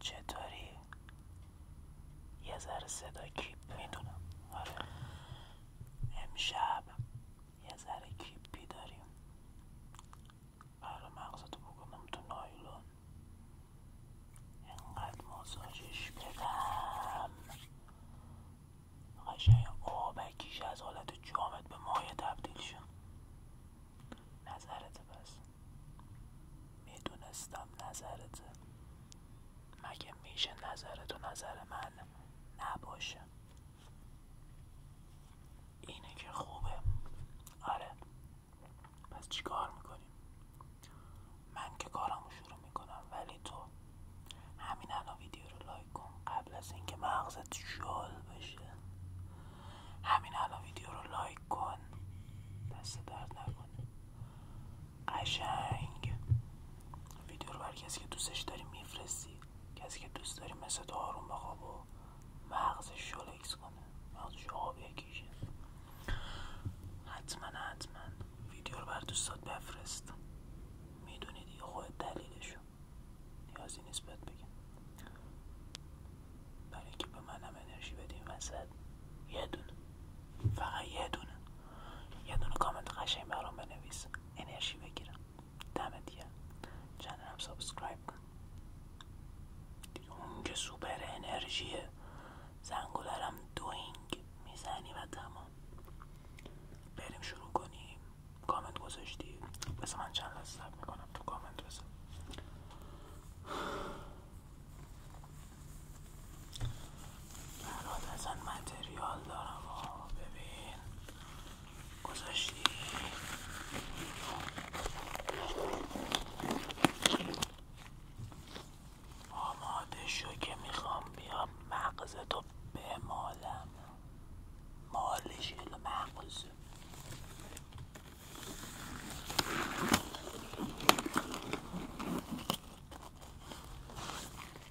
چطوری؟ یه ذره صدا کیپ میدونم آره امشب یه ذره کیپی داریم برای آره، مغزتو بکنم تو نایلون اینقدر ماساژش بدم قشنگ آبکیش از حالت جامد به مایه تبدیل شد نظرت پس میدونستم نظرته مگه میشه نظرتو نظر من نباشه اینه که خوبه آره پس چی کار میکنیم من که کارمو شروع میکنم ولی تو همین الان ویدیو رو لایک کن قبل از اینکه مغزت شال بشه همین الان ویدیو رو لایک کن دست درد نکنه قشنگ ویدیو رو بر کسی که دوستش داری میفرستی کسی که دوست داری مثل تو آروم بخواب و مغزش شلکس کنه مغزش آب یکیشه حتما حتما ویدیو رو بر دوستات بفرست میدونی دیگه خود دلیلشو نیازی نیست بهت بگم برای که به منم انرژی بدین وسط یه دونه فقط یه دونه یه دونه کامنت قشنگ برام بنویس انرژی بگیرم دمت چند چنلم سابسکرایب کن دیگه اون که سوپر انرژیه زنگولرم دوینگ میزنی و تمام بریم شروع کنیم کامنت گذاشتی بس من چند لحظه سب میکنم تو کامنت بزن برات اصلا متریال دارم و ببین گذاشتی آماده شو که میخوام بیام مغزتو بمالم مالش مغز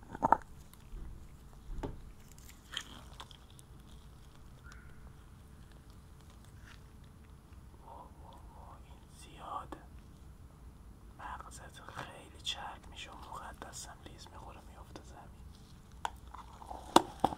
این زیاد مغزت خیلی چرک میشه و مقدسم لیز میخوره میافته زمین خب.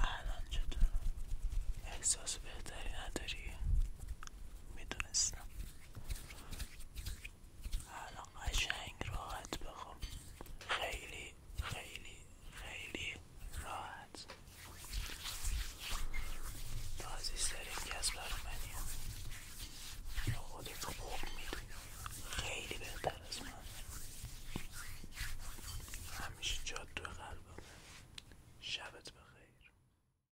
الان چطور احساس بهتری نداری میدونستم الان قشنگ راحت بخم خیلی خیلی خیلی راحت تو عزیزترین کس برای منی خودت خوب میدونی خیلی بهتر از من همیشه جاد قلب قلبمه شبت بخیر